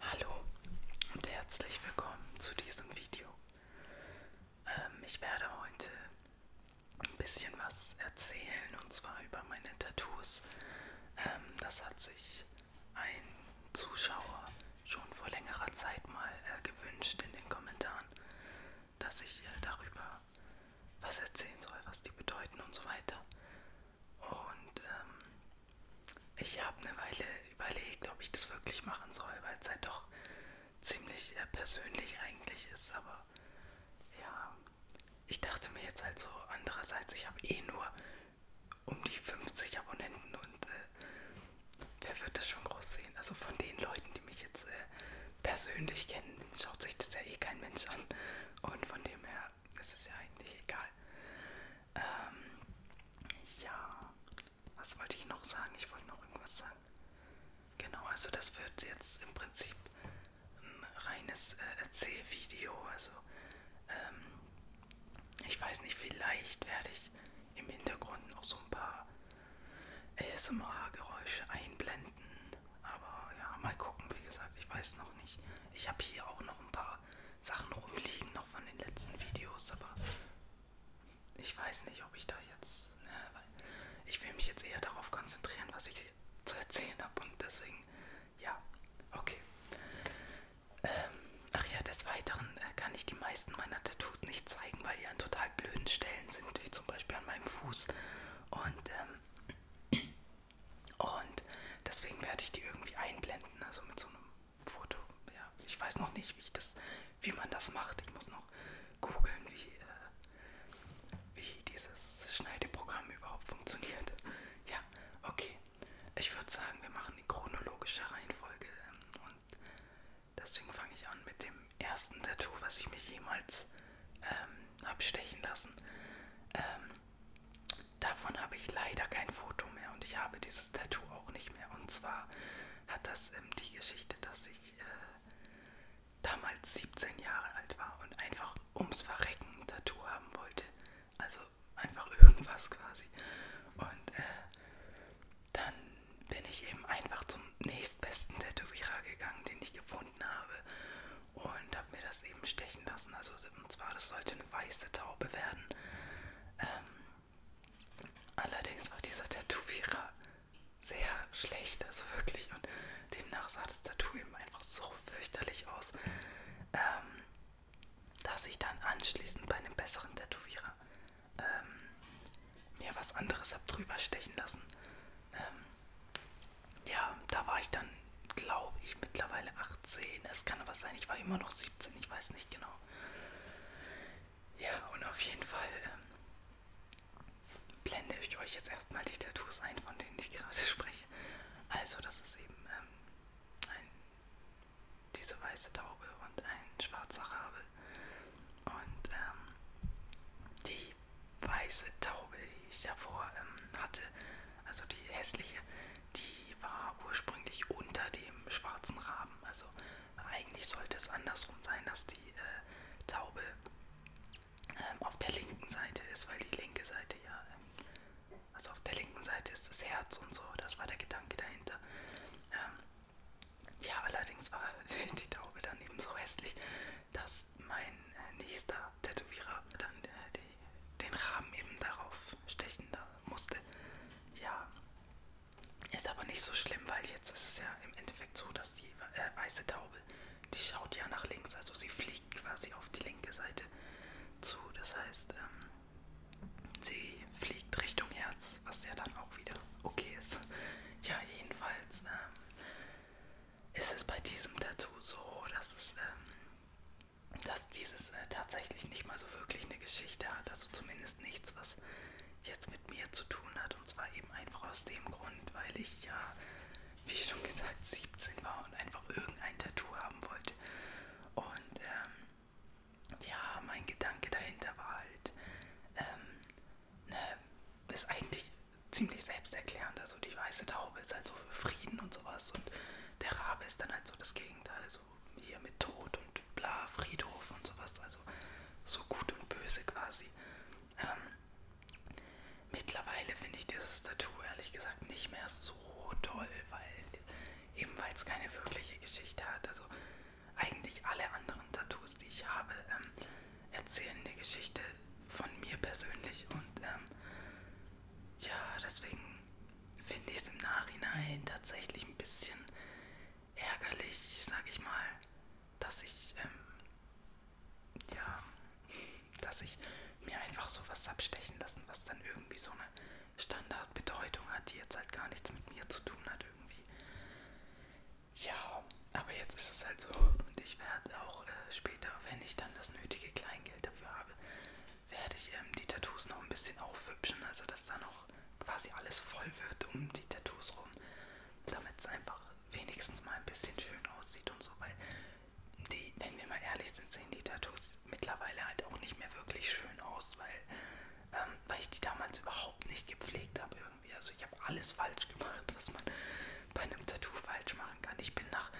Hallo und herzlich willkommen zu diesem Video. Ähm, ich werde heute ein bisschen was erzählen und zwar über meine Tattoos. Ähm, das hat sich ein Zuschauer schon vor längerer Zeit mal äh, gewünscht in den Kommentaren, dass ich äh, darüber was erzählen soll, was die bedeuten und so weiter. Und ähm, ich habe eine Weile überlegt, ob ich das wirklich machen soll, weil es halt doch ziemlich äh, persönlich eigentlich ist. Aber ja, ich dachte mir jetzt halt so, andererseits, ich habe eh nur um die 50 Abonnenten und äh, wer wird das schon groß sehen? Also von den Leuten, die mich jetzt äh, persönlich kennen, schaut sich das ja eh kein Mensch an. Und von dem her ist es ja eigentlich egal. Ähm, ja, was wollte ich noch sagen? Ich wollte noch irgendwas sagen. Genau, also das wird jetzt im Prinzip ein reines äh, Erzählvideo. Also ähm, ich weiß nicht, vielleicht werde ich im Hintergrund noch so ein paar ASMR-Geräusche einblenden. Aber ja, mal gucken, wie gesagt, ich weiß noch nicht. Ich habe hier auch noch ein paar Sachen rumliegen, noch von den letzten Videos, aber ich weiß nicht, ob ich da jetzt... Ne, weil ich will mich jetzt eher darauf konzentrieren, was ich zu erzählen habe und deswegen, ja, okay. Ähm, ach ja, des Weiteren äh, kann ich die meisten meiner Tattoos nicht zeigen, weil die einen total total halt blöden Stellen sind, wie zum Beispiel an meinem Fuß. Und, ähm, und deswegen werde ich die irgendwie einblenden, also mit so einem Foto. Ja, ich weiß noch nicht, wie, ich das, wie man das macht. Ich muss noch googeln, wie, äh, wie dieses Schneideprogramm überhaupt funktioniert. Ja, okay. Ich würde sagen, wir machen in chronologischer Reihenfolge ähm, und Deswegen fange ich an mit dem ersten Tattoo, was ich mich jemals ähm, habe stechen lassen. Ähm, davon habe ich leider kein Foto mehr und ich habe dieses Tattoo auch nicht mehr. Und zwar hat das ähm, die Geschichte, dass ich äh, damals 17 Jahre alt war und einfach ums Verrecken ein Tattoo haben wollte. Also einfach irgendwas quasi. Und äh, dann bin ich eben einfach zum nächstbesten Tätowierer gegangen, den ich gefunden habe und habe mir das eben stechen lassen. Also und zwar, das sollte eine weiße Taube werden. Ähm, allerdings war dieser Tätowierer sehr schlecht, also wirklich. Und demnach sah das Tattoo eben einfach so fürchterlich aus, ähm, dass ich dann anschließend bei einem besseren Tätowierer ähm, mir was anderes habe drüber stechen lassen. Ähm, ja, da war ich dann, glaube ich, mittlerweile 18. Es kann aber sein, ich war immer noch 17, ich weiß nicht genau. Ja, und auf jeden Fall ähm, blende ich euch jetzt erstmal die Tattoos ein, von denen ich gerade spreche. Also, das ist eben ähm, ein, diese weiße Taube und ein schwarzer Rabe und ähm, die weiße Taube, die ich davor ähm, hatte, also die hässliche, die war ursprünglich unter dem schwarzen Raben. Also eigentlich sollte es andersrum sein, dass die äh, Taube ähm, auf der linken Seite ist, weil die linke Seite ja, ähm, also auf der linken Seite ist das Herz und so, das war der Gedanke dahinter. Ähm, ja, allerdings war die Taube daneben so hässlich, dass mein äh, nächster Tätowierer dann äh, die, den Rahmen eben darauf stechen da musste. Ja, ist aber nicht so schlimm, weil jetzt ist es ja im Endeffekt so, dass die äh, weiße Taube, die schaut ja nach links, also sie fliegt quasi auf die linke Seite zu. Das heißt, ähm, sie fliegt Richtung Herz, was ja dann auch wieder okay ist. Ja, jedenfalls. Äh, ist es bei diesem Tattoo so, dass es, ähm, dass dieses äh, tatsächlich nicht mal so wirklich eine Geschichte hat, also zumindest nichts, was jetzt mit mir zu tun hat. Und zwar eben einfach aus dem Grund, weil ich ja, wie schon gesagt, 17 war und einfach irgendein Tattoo haben wollte. Und ähm, ja, mein Gedanke dahinter war halt, ähm, ne, ist eigentlich ziemlich selbsterklärend. Also die weiße Taube ist halt so für Frieden und sowas und der Rabe ist dann halt so das Gegenteil. So also hier mit Tod und bla, Friedhof und sowas. Also so gut und böse quasi. Ähm, mittlerweile finde ich dieses Tattoo ehrlich gesagt nicht mehr so toll, weil eben weil es keine wirkliche Geschichte hat. Also eigentlich alle anderen Tattoos, die ich habe, ähm, erzählen eine Geschichte von mir persönlich und ähm, ja, deswegen finde ich es im Nachhinein tatsächlich ein bisschen ärgerlich, sag ich mal, dass ich ähm, ja, dass ich mir einfach sowas abstechen lassen, was dann irgendwie so eine Standardbedeutung hat, die jetzt halt gar nichts mit mir zu tun hat irgendwie. Ja, aber jetzt ist es halt so. Und ich werde auch äh, später, wenn ich dann das nötige Kleingeld dafür habe, werde ich ähm, die Tattoos noch ein bisschen aufhübschen. Also, dass da noch quasi alles voll wird um die Tattoos rum. Damit es einfach wenigstens mal ein bisschen schön aussieht und so. Weil die, wenn wir mal ehrlich sind, sehen die Tattoos mittlerweile halt auch nicht mehr wirklich schön aus, weil, ähm, weil ich die damals überhaupt nicht gepflegt habe irgendwie. Also ich habe alles falsch gemacht, was man bei einem Tattoo falsch machen kann. Ich bin nach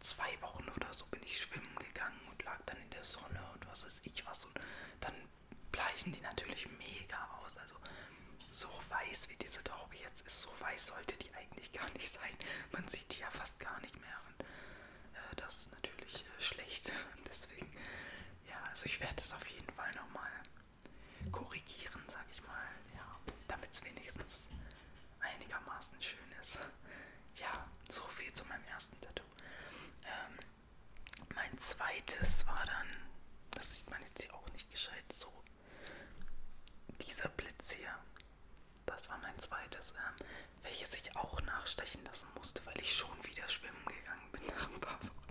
zwei Wochen oder so bin ich schwimmen gegangen und lag dann in der Sonne und was weiß ich was. Und dann bleichen die natürlich mega aus. Also so weiß wie diese Taube jetzt ist, so weiß sollte die eigentlich gar nicht sein. Man sieht die ja fast gar nicht mehr. Und, äh, das ist natürlich äh, schlecht. Deswegen, ja, also ich werde es auf jeden Fall nochmal korrigieren, sag ich mal, ja, damit es wenigstens einigermaßen schön ist. Ja, so viel zu meinem ersten Tattoo. Ähm, mein zweites war dann, das sieht man jetzt hier auch nicht gescheit, so dieser Blitz hier. Das war mein zweites, ähm, welches ich auch nachstechen lassen musste, weil ich schon wieder schwimmen gegangen bin nach ein paar Wochen.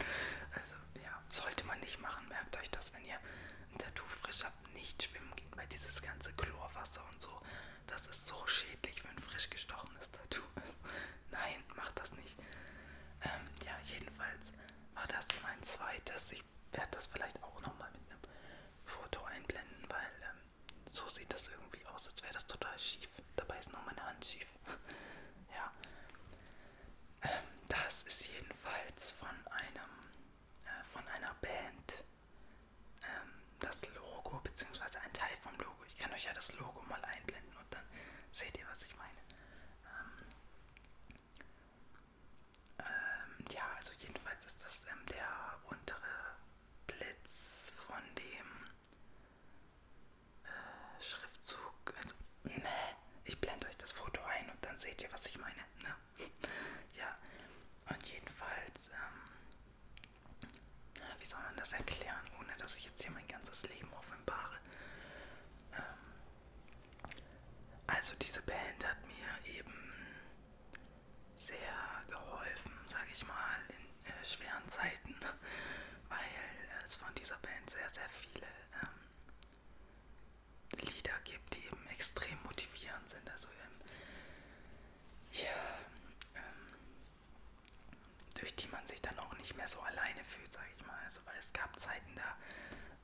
Also ja, ja, sollte man nicht machen. Merkt euch das, wenn ihr ein Tattoo frisch habt, nicht schwimmen geht, weil dieses ganze Chlorwasser und so, das ist so schädlich für ein frisch gestochenes Tattoo. Also, nein, macht das nicht. Ähm, ja, jedenfalls war das hier mein zweites. Ich werde das vielleicht auch nochmal mit einem Foto einblenden, weil ähm, so sieht das irgendwie aus, als wäre das total schief. Dabei ist nur meine Hand schief. ja, ähm, das ist jedenfalls von einem äh, von einer Band ähm, das Logo beziehungsweise ein Teil vom Logo. Ich kann euch ja das Logo mal einblenden und dann seht ihr, was ich meine. Ähm, ähm, ja, also jedenfalls ist das ähm, der untere Blitz von dem äh, Schriftzug, also Ne, ich blende euch das Foto ein und dann seht ihr, was ich meine. Ne? ja, und jedenfalls, ähm, wie soll man das erklären, ohne dass ich jetzt hier mein ganzes Leben offenbare? Ähm, also diese Band hat mir eben sehr geholfen, sage ich mal, in äh, schweren Zeiten, weil äh, es von dieser Band sehr, sehr viele ähm, Lieder gibt, die eben extrem motivierend sind. Also eben, ähm, ja, ähm, durch die man sich dann auch nicht mehr so alleine fühlt, sage ich mal. Also weil es gab Zeiten, da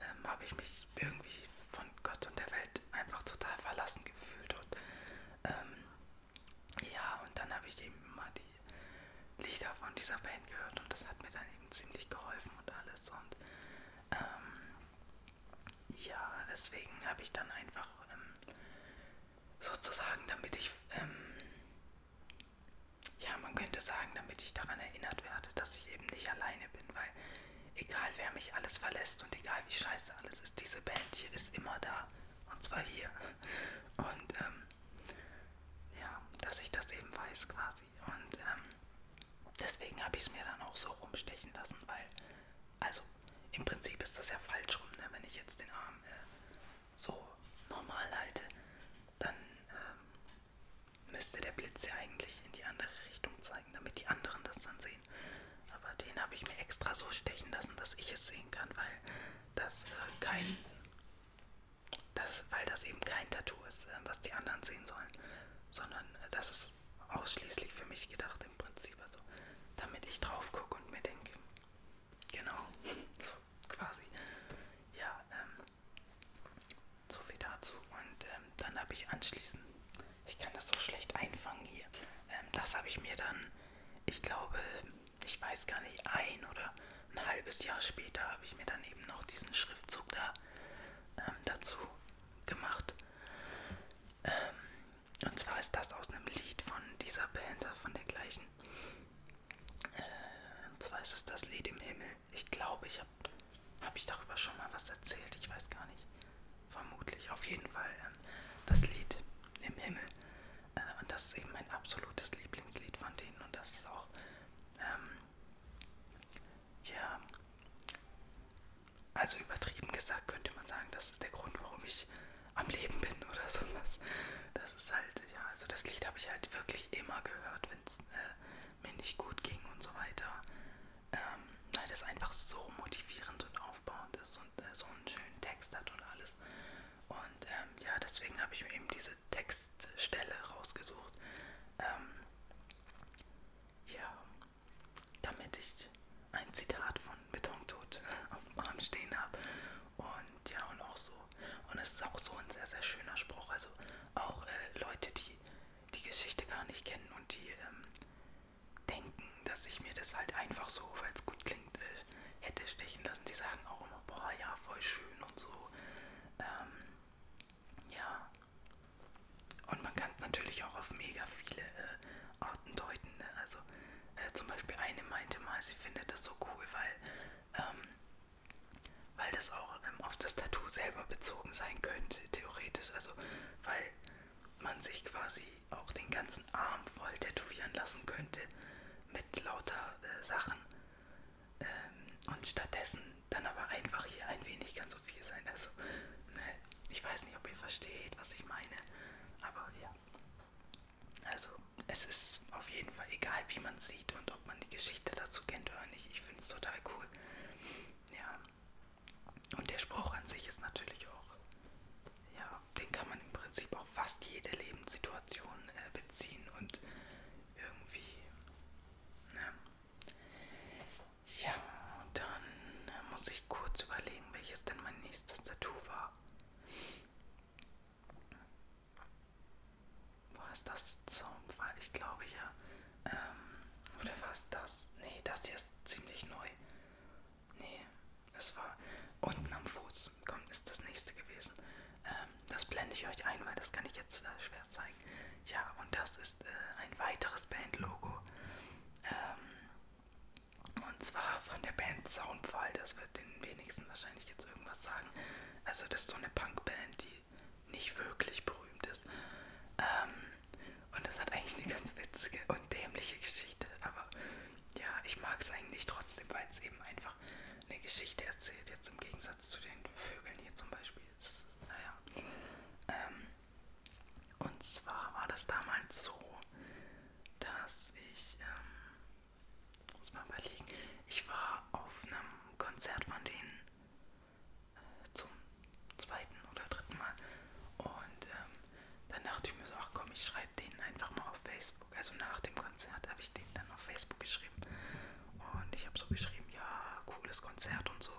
ähm, habe ich mich irgendwie von Gott und der Welt einfach total verlassen gefühlt. Und ähm, ja, und dann habe ich eben immer die Lieder von dieser Band gehört und das hat mir dann eben ziemlich geholfen und alles. Und ähm, ja, deswegen habe ich dann einfach ähm, sozusagen, damit ich, ähm, ja, man könnte sagen, damit ich daran erinnert werde, dass ich eben nicht alleine bin, weil egal wer mich alles verlässt und egal wie scheiße alles ist, diese Band hier ist immer da. Und zwar hier. Und ähm, ja, dass ich das eben weiß quasi. Und ähm, deswegen habe ich es mir dann auch so rumstechen lassen, weil, also im Prinzip ist das ja falsch rum, ne? wenn ich jetzt den Arm äh, so normal halte, dann ähm, müsste der Blitz ja eigentlich in die andere Richtung zeigen, damit die anderen das dann sehen. Aber den habe ich mir extra so stechen lassen, dass ich es sehen kann, weil das äh, kein das, weil das eben kein Tattoo ist, äh, was die anderen sehen sollen sondern äh, das ist ausschließlich für mich gedacht im Prinzip. Also damit ich drauf gucke und mir denke, genau, so quasi. Ja, ähm, so viel dazu. Und ähm, dann habe ich anschließend, ich kann das so schlecht einfangen hier, ähm, das habe ich mir dann, ich glaube, ich weiß gar nicht, ein oder ein halbes Jahr später habe ich mir dann eben noch diesen Schriftzug da ähm, dazu gemacht. Ähm, und zwar ist das aus einem Lied von dieser Band, äh, von der gleichen. Äh, und zwar ist es das Lied im Himmel. Ich glaube, ich habe hab ich darüber schon mal was erzählt. Ich weiß gar nicht. Vermutlich. Auf jeden Fall ähm, das Lied im Himmel. Äh, und das ist eben mein absolutes Lieblingslied von denen. Und das ist auch ähm, ja, also übertrieben gesagt könnte man sagen, das ist der Grund, warum ich am Leben bin oder sowas. Das ist halt, ja, also das Lied habe ich halt wirklich immer gehört, wenn es äh, mir nicht gut ging und so weiter. Ähm, weil das einfach so motivierend und aufbauend ist und äh, so einen schönen Text hat und alles. Und ähm, ja, deswegen habe ich mir eben diese Textstelle rausgesucht. Ähm, ja, damit ich ein Zitat von Betontod auf dem Arm stehen habe. Und ja, und auch so. Und es ist auch so ein sehr, sehr schöner Spruch. Also auch äh, Leute, die die Geschichte gar nicht kennen und die ähm, denken, dass ich mir das halt einfach so, weil es gut klingt, äh, hätte stechen lassen. Die sagen auch immer, boah, ja, voll schön und so. Ähm, ja, und man kann es natürlich auch auf mega viele äh, Arten deuten. Ne? Also äh, zum Beispiel eine meinte mal, sie findet das so cool, weil, ähm, weil das auch ähm, auf das Tattoo selber bezogen sein könnte, theoretisch. Also weil man sich quasi auch den ganzen Arm voll tätowieren lassen könnte mit lauter äh, Sachen. Ähm, und stattdessen dann aber einfach hier ein wenig kann so viel sein. Also, ne, ich weiß nicht, ob ihr versteht, was ich meine, aber ja. Also, es ist auf jeden Fall egal, wie man sieht und ob man die Geschichte dazu kennt oder nicht. Ich finde es total cool. Ja. Und der Spruch an sich ist natürlich auch, ja, den kann man im Prinzip auf fast jede Lebenssituation äh, beziehen und irgendwie, ne. Ja, dann äh, muss ich kurz überlegen, welches denn mein nächstes Tattoo war. War es das Zaunpfahl? Ich glaube ja. Ähm, oder war es das? Nee, das hier ist ziemlich neu. Nee, es war unten am Fuß. Komm, ist das nächste gewesen. Ähm, das blende ich euch ein, weil das kann ich jetzt äh, schwer wert sein. Ja, und das ist äh, ein weiteres Bandlogo. Ähm, und zwar von der Band Soundfall. Das wird den wenigsten wahrscheinlich jetzt irgendwas sagen. Also, das ist so eine Punkband, die nicht wirklich berühmt ist. Ähm, und das hat eigentlich eine ganz witzige und dämliche Geschichte. Aber ja, ich mag es eigentlich trotzdem, weil es eben einfach eine Geschichte erzählt. Jetzt im Gegensatz zu den Vögeln hier zum Beispiel. Ist, naja. Ähm, und zwar war das damals so, dass ich, ähm, muss mal überlegen, ich war auf einem Konzert von denen äh, zum zweiten oder dritten Mal. Und ähm, dann dachte ich mir so, ach komm, ich schreibe denen einfach mal auf Facebook. Also nach dem Konzert habe ich denen dann auf Facebook geschrieben. Und ich habe so geschrieben, ja, cooles Konzert und so.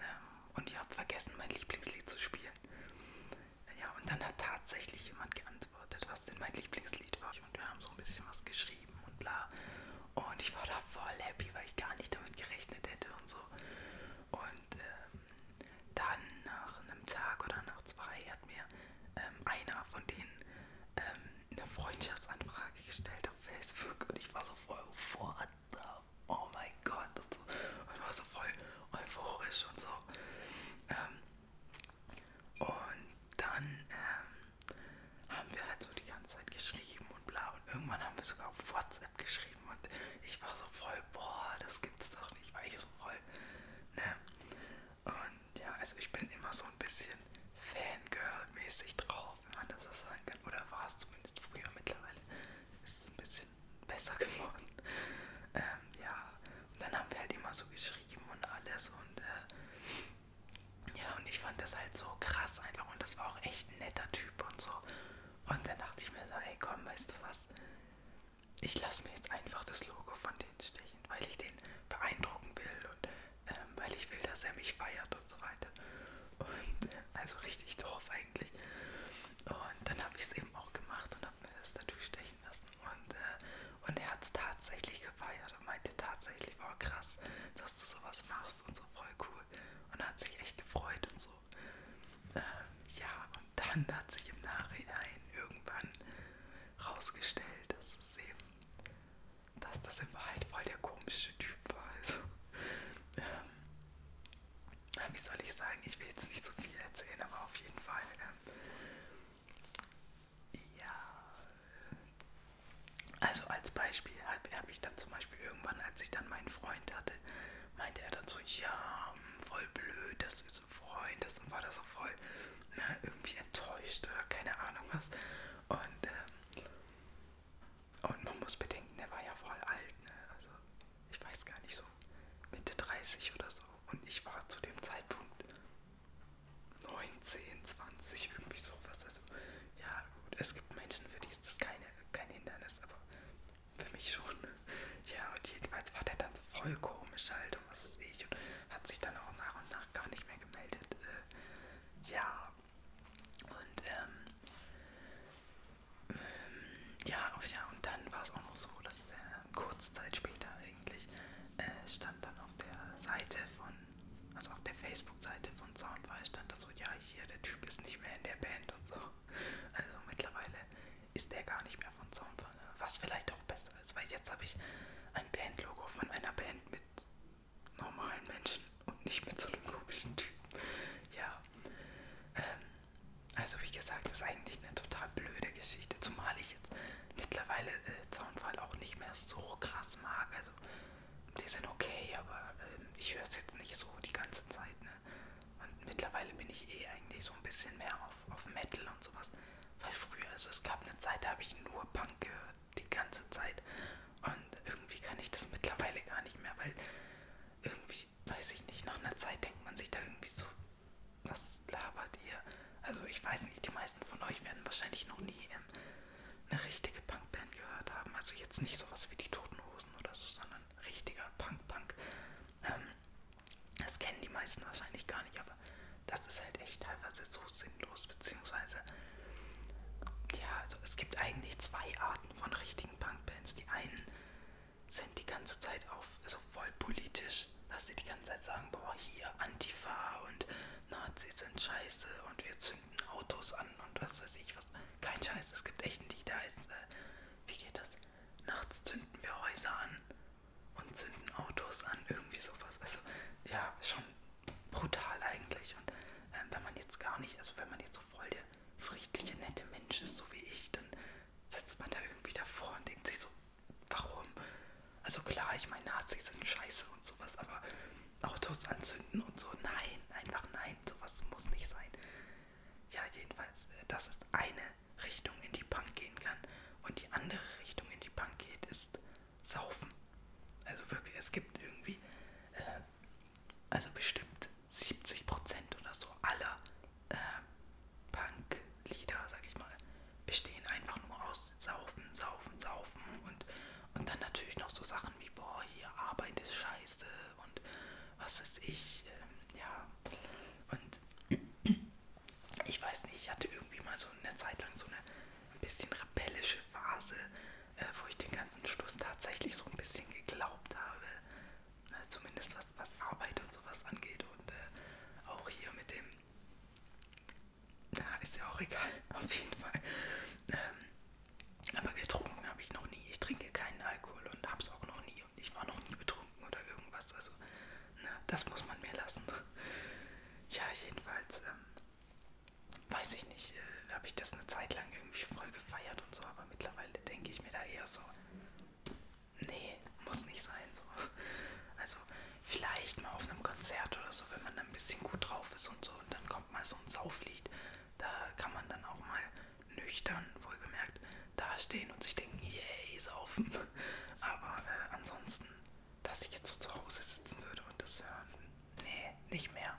Ähm, und ich habe vergessen, mein Lieblingslied zu spielen. Ja, und dann hat tatsächlich jemand geantwortet, was denn mein Lieblingslied war. Und wir haben so ein bisschen was geschrieben und bla. Und ich war da voll happy, weil ich gar nicht damit gerechnet hätte und so. Und ähm, dann nach einem Tag oder nach zwei hat mir ähm, einer von denen ähm, eine Freundschaftsanfrage gestellt auf Facebook. Und ich war so voll, what the wow, oh mein Gott. Und, so. und war so voll euphorisch und so. Ähm, und dann ähm, haben wir halt so die ganze Zeit geschrieben und bla. Und irgendwann haben wir sogar auf WhatsApp geschrieben. Und ich war so voll, boah, das gibt's doch nicht, weil ich so voll, ne? Und ja, also ich bin immer so ein bisschen Fangirl-mäßig drauf, wenn man das so sagen kann. Oder war es zumindest früher mittlerweile ist es ein bisschen besser geworden. Ähm, ja, und dann haben wir halt immer so geschrieben und alles und äh, ja, und ich fand das halt so krass einfach und das war auch echt ein netter Typ und so. Und dann dachte ich mir so, ey komm, weißt du was? Ich lasse mir jetzt einfach das Logo von denen stechen, weil ich den beeindrucken will und ähm, weil ich will, dass er mich feiert und so weiter. Und äh, also richtig doof eigentlich. Und dann habe ich es eben auch gemacht und habe mir das natürlich stechen lassen. Und, äh, und er hat es tatsächlich gefeiert und meinte tatsächlich, wow, krass, dass du sowas machst und so voll cool. Und hat sich echt gefreut und so. Ähm, ja, und dann hat sich im Nachhinein irgendwann rausgestellt, dass es eben, dass das in Wahrheit voll der komische Typ war. Also, ähm, Ah, wie soll ich sagen, ich will jetzt nicht so viel erzählen, aber auf jeden Fall. Ähm, ja. Also als Beispiel habe hab ich dann zum Beispiel irgendwann, als ich dann meinen Freund hatte, meinte er dann so, ja, voll blöd, dass du so Freund hast und war das so voll na, ne, irgendwie enttäuscht oder keine Ahnung was. Und ähm, und man muss bedenken, der war ja voll alt, ne? Also ich weiß gar nicht so, Mitte 30 oder so. Und ich war zu dem Zeitpunkt 19, 20, irgendwie sowas. Also ja, gut, es gibt Menschen, für die ist das keine, kein Hindernis, aber für mich schon. Ja, und jedenfalls war der dann so voll komisch halt und was ist ich und hat sich dann auch nach und nach gar nicht mehr gemeldet. Äh, ja, und ähm, ja, ja, und dann war es auch noch so, dass äh, kurze Zeit später eigentlich äh, stand dann auf der Seite von, also auf der Facebook-Seite von Soundfile stand da so, ja, hier, der Typ ist nicht mehr in der Band und so. Also mittlerweile ist der gar nicht mehr von Soundfile, was vielleicht auch besser ist, weil jetzt habe ich ein Bandlogo von einer Band mit normalen Menschen und nicht mit so einem komischen Typ. Ja. Ähm, also wie gesagt, das ist eigentlich eine total blöde Geschichte, zumal ich jetzt mittlerweile äh, Zaunfall auch nicht mehr so krass mag. Also die sind okay, aber äh, ich höre es jetzt nicht so die ganze Zeit. Ne? Und mittlerweile bin ich eh eigentlich so ein bisschen mehr auf, auf Metal und sowas. Weil früher, also es gab eine Zeit, da habe ich nur Punk gehört, die ganze Zeit. Und irgendwie kann ich das mittlerweile gar nicht mehr, weil irgendwie ich, weiß ich nicht, nach einer Zeit denkt man sich da irgendwie so, was labert ihr? Also ich weiß nicht, die meisten von euch werden wahrscheinlich noch nie ähm, eine richtige Punkband gehört haben. Also jetzt nicht sowas wie die Toten Hosen oder so, sondern richtiger Punk-Punk. Ähm, das kennen die meisten wahrscheinlich gar nicht, aber das ist halt echt teilweise so sinnlos, beziehungsweise ja, also es gibt eigentlich zwei Arten von richtigen Punkbands. Die einen sind die ganze Zeit auf so also voll politisch, dass sie die ganze Zeit sagen, boah, hier Antifa und Nazis sind scheiße und wir zünden Autos an und was weiß ich was. Kein Scheiß, es gibt echt ein Lied, der heißt, äh, wie geht das? Nachts zünden wir Häuser an und zünden Autos an, irgendwie sowas. Also ja, schon brutal eigentlich. Und ähm, wenn man jetzt gar nicht, also wenn man jetzt so voll der friedliche, nette Mensch ist, so wie ich, dann sitzt man da irgendwie davor und denkt sich so, warum? Also klar, ich meine, Nazis sind scheiße und sowas, aber Autos anzünden und so, nein, einfach nein, sowas muss nicht sein. Ja, jedenfalls, äh, das ist eine Richtung, in die Punk gehen kann. Und die andere Richtung, in die Punk geht, ist Saufen. Also wirklich, es gibt irgendwie, äh, also bestimmt 70% oder so aller äh, Punk-Lieder, sag ich mal, bestehen einfach nur aus Saufen, Saufen, Saufen und, und dann natürlich noch so Sachen wie, boah, hier Arbeit ist scheiße und was ist ich, ähm, ja. Und ich weiß nicht, ich hatte irgendwie mal so eine Zeit lang so eine ein bisschen rebellische Phase, äh, wo ich den ganzen Schluss tatsächlich so ein bisschen geglaubt habe, Ne, zumindest was, was Arbeit und sowas angeht. Und äh, auch hier mit dem. Ja, ist ja auch egal, auf jeden Fall. Ähm, aber getrunken habe ich noch nie. Ich trinke keinen Alkohol und hab's auch noch nie. Und ich war noch nie betrunken oder irgendwas. Also, ne, das muss man mir lassen. ja, jedenfalls, ähm, weiß ich nicht, äh, habe ich das eine Zeit lang irgendwie voll gefeiert und so. Aber mittlerweile denke ich mir da eher so, nee, muss nicht sein. So. Also vielleicht mal auf einem Konzert oder so, wenn man dann ein bisschen gut drauf ist und so und dann kommt mal so ein Sauflied, da kann man dann auch mal nüchtern, wohlgemerkt, dastehen und sich denken, yay, saufen. Aber äh, ansonsten, dass ich jetzt so zu Hause sitzen würde und das hören, nee, nicht mehr.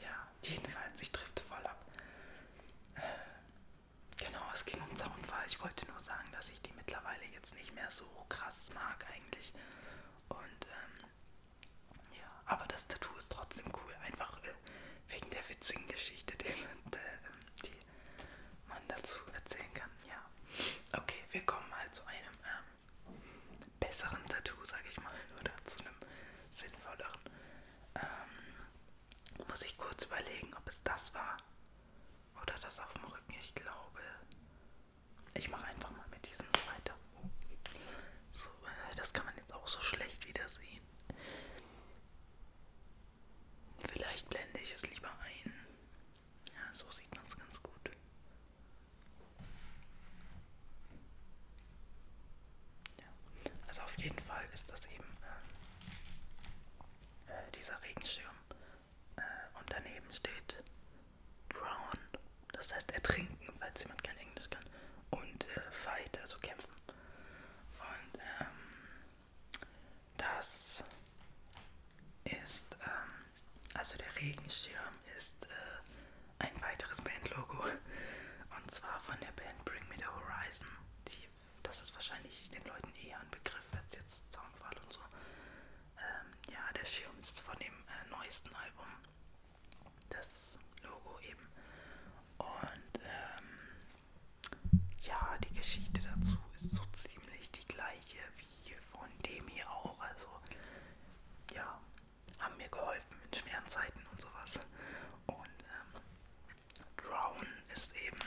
Ja, jedenfalls, ich drifte voll ab. Äh, genau, es ging um Zaunfall. Ich wollte nur sagen, dass ich die mittlerweile jetzt nicht mehr so krass mag eigentlich. Und ähm, ja, aber das Tattoo ist trotzdem cool. Einfach äh, wegen der witzigen Geschichte, die, sind, äh, die man dazu erzählen kann. Ja, okay, wir kommen mal zu einem ähm, besseren Tattoo, sag ich mal, oder zu einem sinnvolleren. Ähm, muss ich kurz überlegen, ob es das war oder das auf dem Rücken. Ich glaube, ich mache einfach mal mit diesem weiter. So, das kann man jetzt auch so schlecht wieder sehen. Vielleicht blende ich es lieber ein. Ja, so sieht man es ganz gut. Ja. Also auf jeden Fall ist das eben äh, äh, dieser Regenschirm äh, und daneben steht Drown, das heißt ertrinken, falls jemand kein Englisch kann, und äh, Fight, also kämpfen. Und ähm, das ist, ähm, also der Regenschirm ist äh, ein weiteres Bandlogo und zwar von der Band Bring Me the Horizon, die das ist wahrscheinlich den Leuten eher ein Begriff als jetzt Zaunpfahl und so. Ähm, ja, der Schirm ist von dem äh, neuesten Album. Das Logo eben. Und ähm, ja, die Geschichte dazu ist so ziemlich die gleiche wie von dem hier auch. Also ja, haben mir geholfen in schweren Zeiten und sowas. Und ähm, Drown ist eben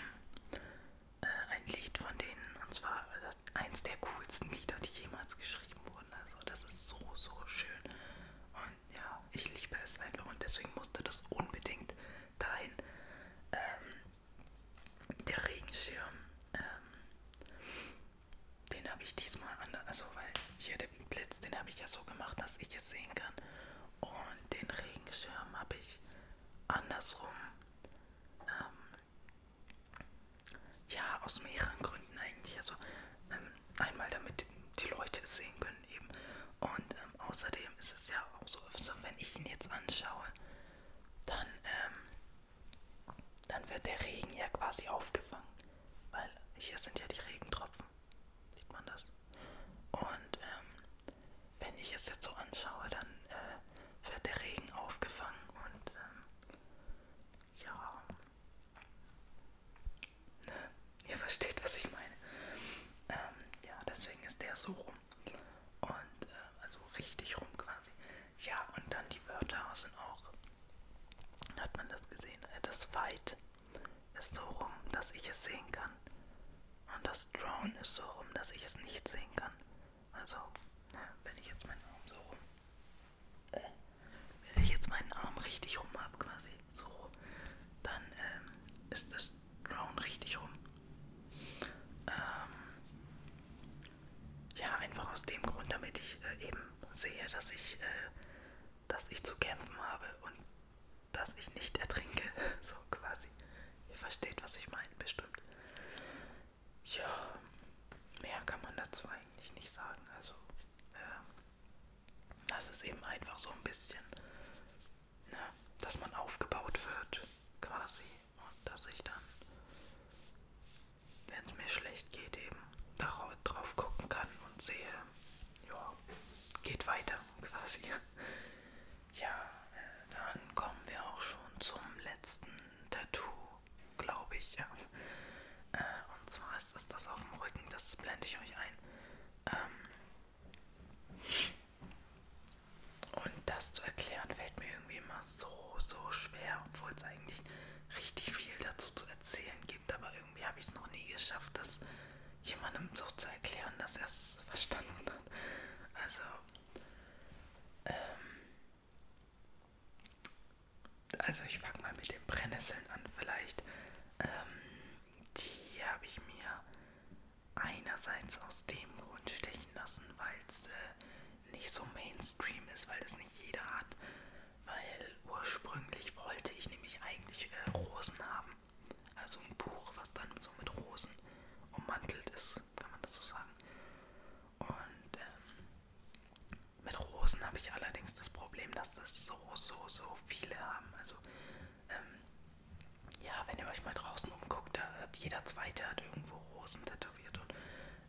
äh, ein Lied von denen und zwar äh, eins der coolsten Lieder, die jemals geschrieben wurden. Also das ist so, so schön. Und ja, ich liebe es einfach und deswegen musste das unbedingt dahin. Ähm, der Regenschirm, ähm, den habe ich diesmal anders, also weil hier der Blitz, den habe ich ja so gemacht, dass ich es sehen kann. Und den Regenschirm habe ich andersrum. Ähm, ja, aus mehreren Gründen eigentlich. Also ähm, einmal damit die Leute es sehen können eben. Und ähm, außerdem ist es ja auch so, also wenn ich ihn jetzt anschaue, dann, ähm, dann wird der Regen ja quasi aufgefangen. Weil hier sind ja die Regentropfen. Sieht man das? Und ähm, wenn ich es jetzt so anschaue, dann äh, wird der Regen aufgefangen und ähm, ja. Ne? Ihr versteht, was ich meine. Ähm, ja, deswegen ist der so rum. Und äh, also richtig rum quasi. Ja, und dann die Wörter sind auch. Hat man das gesehen? Äh, das Fight ist so rum, dass ich es sehen kann. Und das Drone ist so rum, dass ich es nicht sehen kann. Also, ne, wenn ich jetzt meinen Arm so rum. Äh, wenn ich jetzt meinen Arm richtig rum habe, quasi so, dann ähm, ist das Drone richtig rum. Ähm, ja, einfach aus dem Grund, damit ich äh, eben sehe, dass ich, äh, dass ich zu kämpfen habe und dass ich nicht ertrinke. So quasi. Ihr versteht, was ich meine, bestimmt. Ja, mehr kann man dazu eigentlich nicht sagen. Also, äh, das ist eben einfach so ein bisschen, ne, dass man aufgebaut wird, quasi. Und dass ich dann, wenn es mir schlecht geht, eben drauf gucken kann und sehe, ja, geht weiter, quasi. Ja, äh, dann kommen wir auch schon zum letzten Tattoo, glaube ich. Ja. Äh, und zwar ist es das auf dem Rücken, das blende ich euch ein. Ähm, und das zu erklären fällt mir irgendwie immer so, so schwer, obwohl es eigentlich richtig viel dazu zu erzählen gibt. Aber irgendwie habe ich es noch nie geschafft, das jemandem so zu erklären, dass er es verstanden hat. Also, ähm, also ich fange mal mit den Brennnesseln an vielleicht. Ähm, die habe ich mir einerseits aus dem Grund stechen lassen, weil es äh, nicht so Mainstream ist, weil es nicht jeder hat. Weil ursprünglich wollte ich nämlich eigentlich äh, Rosen haben. Also ein Buch, was dann so mit Rosen ummantelt ist, kann man das so sagen. Und ähm, mit Rosen habe ich allerdings das Problem, dass das so, so, so viele haben. Also, ähm, ja, wenn ihr euch mal draußen umguckt, da hat jeder Zweite hat irgendwo Rosen tätowiert. Und,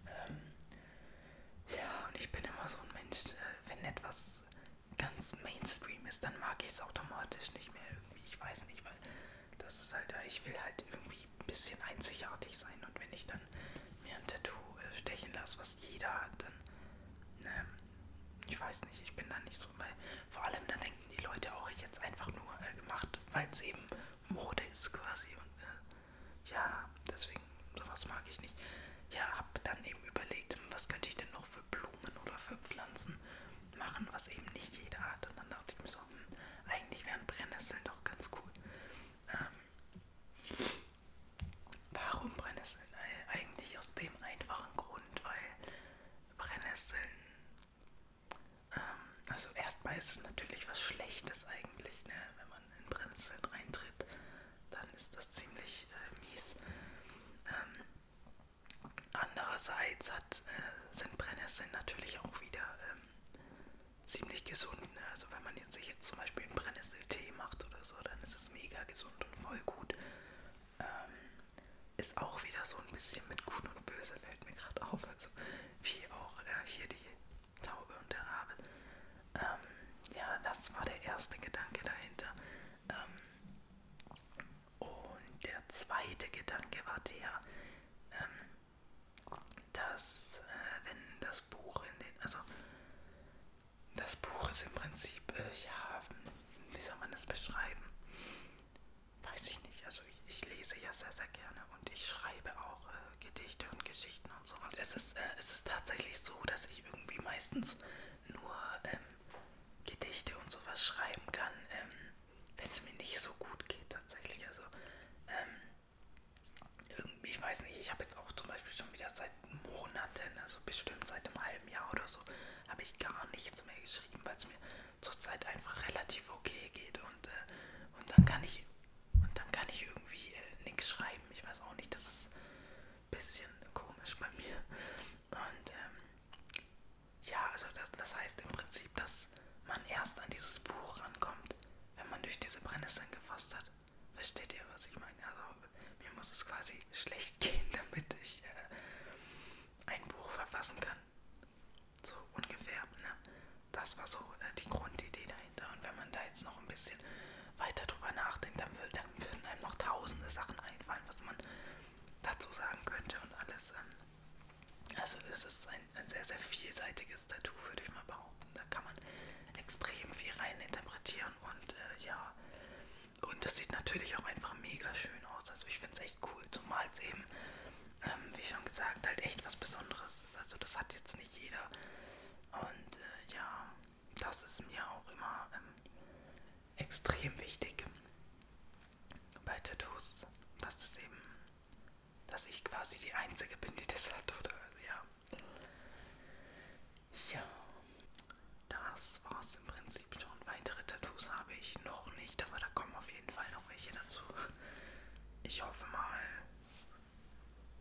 ähm, ja, und ich bin immer so ein Mensch, äh, wenn etwas ganz Mainstream ist, dann mag ich es automatisch nicht mehr irgendwie. Ich weiß nicht, weil weil das ist halt, äh, ich will halt irgendwie ein bisschen einzigartig sein und wenn ich dann mir ein Tattoo äh, stechen lasse, was jeder hat, dann, ähm, ich weiß nicht, ich bin da nicht so, weil vor allem dann denken die Leute auch, ich jetzt einfach nur äh, gemacht, weil es eben Mode ist quasi und äh, ja, deswegen, sowas mag ich nicht. Ja, hab dann eben überlegt, hm, was könnte ich denn noch für Blumen oder für Pflanzen machen, was eben nicht jeder hat. Und dann dachte ich mir so, hm, eigentlich wären Brennnesseln doch ganz cool. Ähm, warum Brennnesseln? Eigentlich aus dem einfachen Grund, weil Brennnesseln, ähm, also erstmal ist es natürlich was Schlechtes eigentlich, ne? wenn man in Brennnesseln reintritt, dann ist das ziemlich äh, mies. Ähm, Andererseits hat, äh, sind Brennnesseln natürlich auch wieder ähm, ziemlich gesund. Ne? Also wenn man jetzt sich jetzt zum Beispiel einen Brennnesseltee macht oder so, dann ist es mega gesund und voll gut. Ähm, ist auch wieder so ein bisschen mit Gut und Böse, fällt mir gerade auf. Also wie auch äh, hier die Taube und der Rabe. Ähm, ja, das war der erste Gedanke dahinter. Ähm, und der zweite Gedanke war der, ähm, dass äh, wenn das Buch in den, also das Buch ist im Prinzip, äh, ja, wie soll man das beschreiben? Weiß ich nicht. Also ich, ich lese ja sehr, sehr gerne und ich schreibe auch äh, Gedichte und Geschichten und sowas. Es ist, äh, es ist tatsächlich so, dass ich irgendwie meistens nur ähm, Gedichte und sowas schreiben kann. Ähm, wenn es mir nicht so gut geht tatsächlich. Also ähm, irgendwie, ich weiß nicht, ich habe jetzt auch zum Beispiel schon wieder seit Monaten, also bestimmt seit einem halben Jahr oder so, habe ich gar nichts mehr geschrieben, weil es mir zurzeit einfach relativ okay geht und, äh, und dann kann ich und dann kann ich irgendwie äh, nichts schreiben. Ich weiß auch nicht, das ist ein bisschen komisch bei mir. Und ähm, ja, also das, das heißt im Prinzip, dass man erst an dieses Buch rankommt, wenn man durch diese Brennnesseln gefasst hat. Versteht ihr, was ich meine? Also mir muss es quasi schlecht gehen, damit ich äh, ein Buch verfassen kann. So ungefähr. Ne? Das war so äh, die Grundidee dahinter. Und wenn man da jetzt noch ein bisschen weiter drüber nachdenkt, dann, will, dann würden einem noch tausende Sachen einfallen, was man dazu sagen könnte und alles. Ähm, also es ist ein, ein sehr, sehr vielseitiges Tattoo, würde ich mal behaupten. Da kann man extrem viel rein interpretieren und äh, ja, und das sieht natürlich auch einfach mega schön aus. Also ich finde es echt cool, zumal es eben, ähm, wie schon gesagt, halt echt was Besonderes ist. Also das hat jetzt nicht jeder. Und äh, ja, das ist mir auch immer ähm, extrem wichtig bei Tattoos, dass es eben, dass ich quasi die Einzige bin, die das hat, oder? Ja. Ja, das war's im Prinzip schon. Weitere Tattoos habe ich noch nicht, aber da kommen auf jeden Fall noch welche dazu. Ich hoffe mal,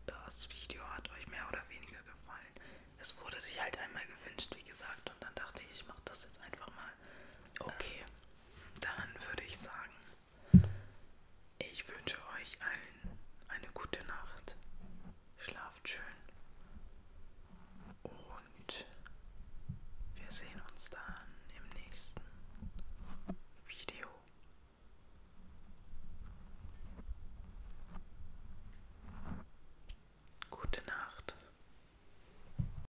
das Video hat euch mehr oder weniger gefallen. Es wurde sich halt einmal gewünscht, wie gesagt, und dann dachte ich, ich mache das jetzt einfach mal. Okay, ähm, dann würde ich sagen, ich wünsche euch allen eine gute Nacht. Schlaft schön. Und wir sehen uns dann im nächsten Video. Gute Nacht.